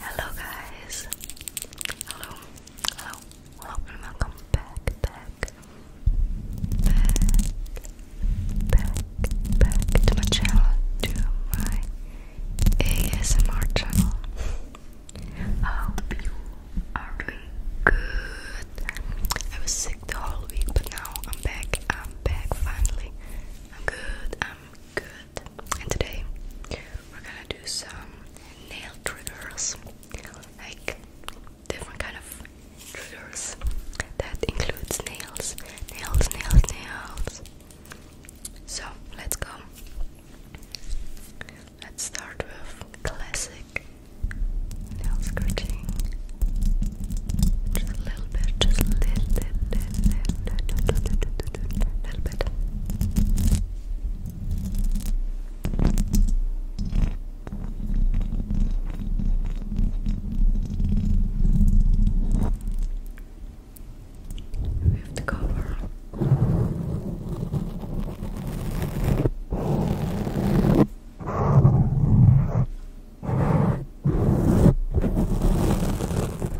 Hello guys. Hello. Hello. welcome back, back, back, back, to my channel, to my ASMR channel. I hope you are doing good. I was sick the whole week, but now I'm back. I'm back finally. I'm good. I'm good and today we're gonna do some nail triggers, like different kind of triggers that includes nails, nails, nails, nails. So let's go. Let's start with classic nail scratching. Just a little bit, just a little bit little bit. We have to cover.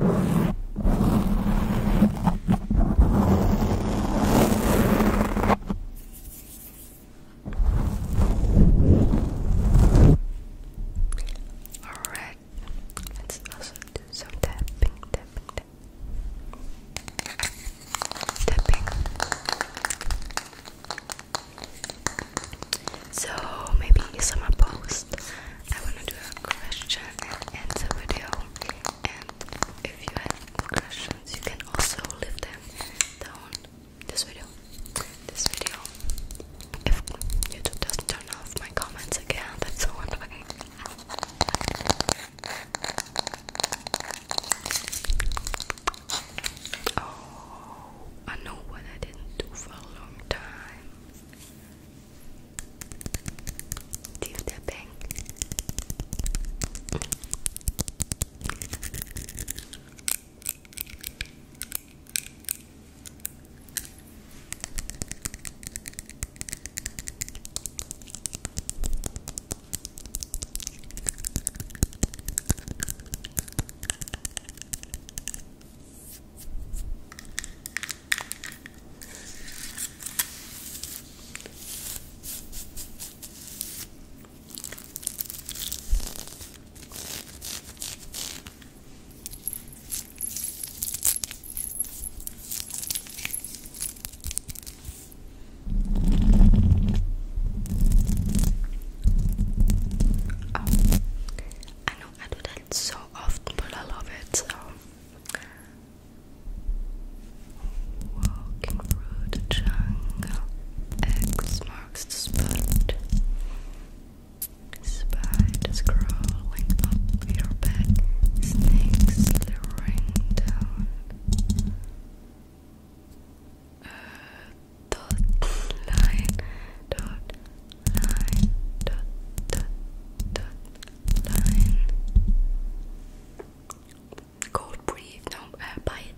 Alright, let's also do some tapping, tapping, tapping. So maybe some pose. I wanna do a question and answer video. And if you have questions, you can also leave them down this video. This video. If YouTube doesn't turn off my comments again, that's so annoying. Oh, I know what I didn't do for a long time. Deep dipping. Oh, I know I do that so often, but I love it so. Walking through the jungle, X marks the spot. Spiders crawling up your back, snakes slithering down. Uh, cold breathe no uh, bite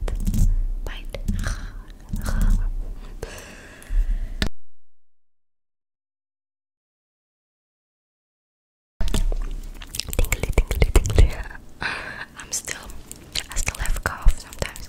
bite I'm still I still have cough sometimes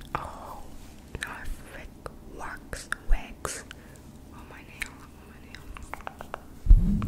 Oh, Norfolk wax wax on my nail. Oh,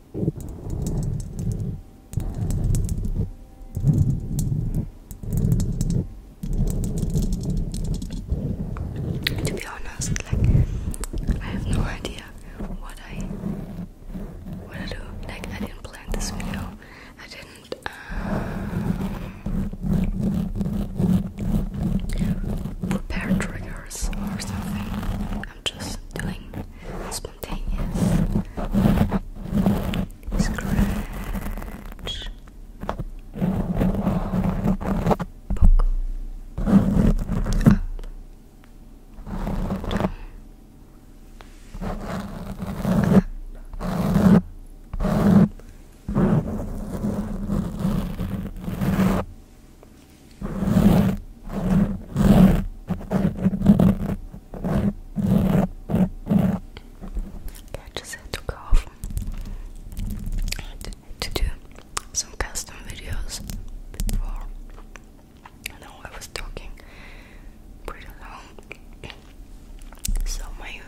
To be honest, like I have no idea what I what I do. Like I didn't plan this video. I didn't. Uh, prepare triggers or something. I'm just doing spontaneous scratch poke up down up up I just had to go off to do some custom videos before. I know I was talking pretty long, so my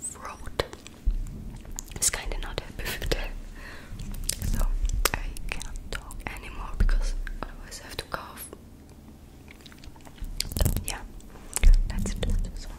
throat is kind of not happy with so I can't talk anymore because otherwise I have to cough. yeah, let's do this one.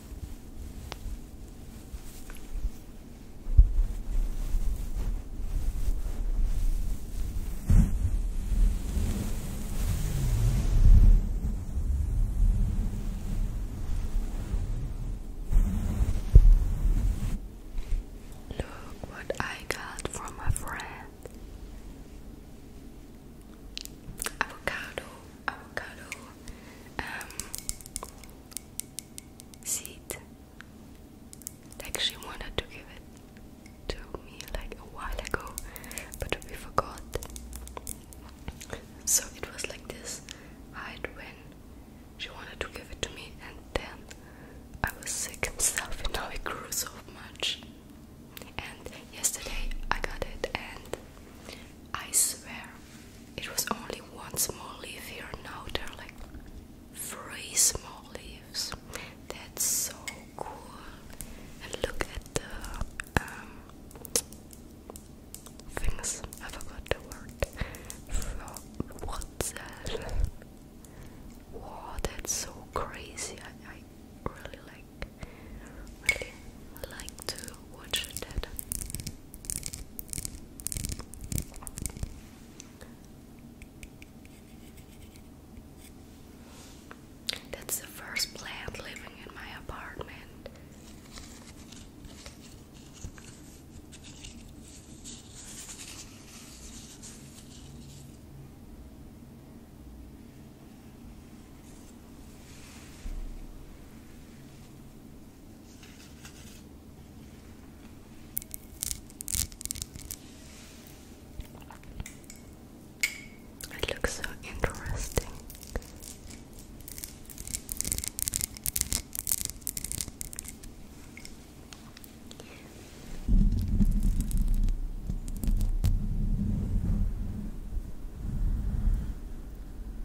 Look what I got from a friend avocado avocado um, seed. she wanted to give it to me like a while ago, but we forgot. So it was like this hide when she wanted to give it to me, and then I was sick and stuff, and now it grew so much. And yesterday I got it, and I swear, it was only one small leaf here. Now there are like three small leaves. That's so cool. And look at the um, things. I forgot the word. For what's that? Wow, that's so crazy. I, I really like, really like to watch that. That's the first plant living in my apartment. It looks so interesting.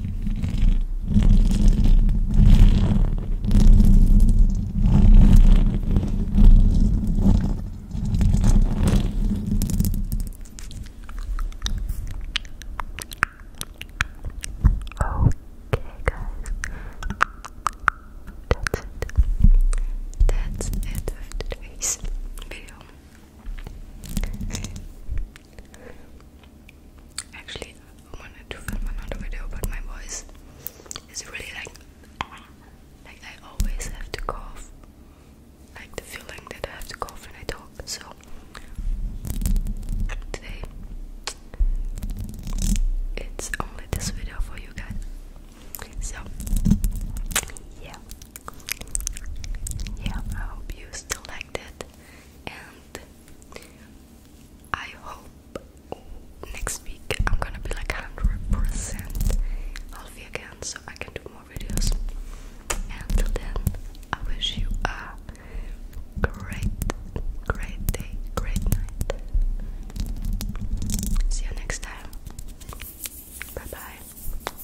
guys. That's it. That's it for today's video. Actually, I wanted to film another video, but my voice is really like, like I always have to cough, like the feeling that I have to cough when I talk. So today, it's only this video for you guys. So, yeah, yeah, I hope you still liked it, and I hope next week I'm gonna be like 100% healthy again so I can do more videos. And then, I wish you a great, great day, great night. See you next time. Bye bye.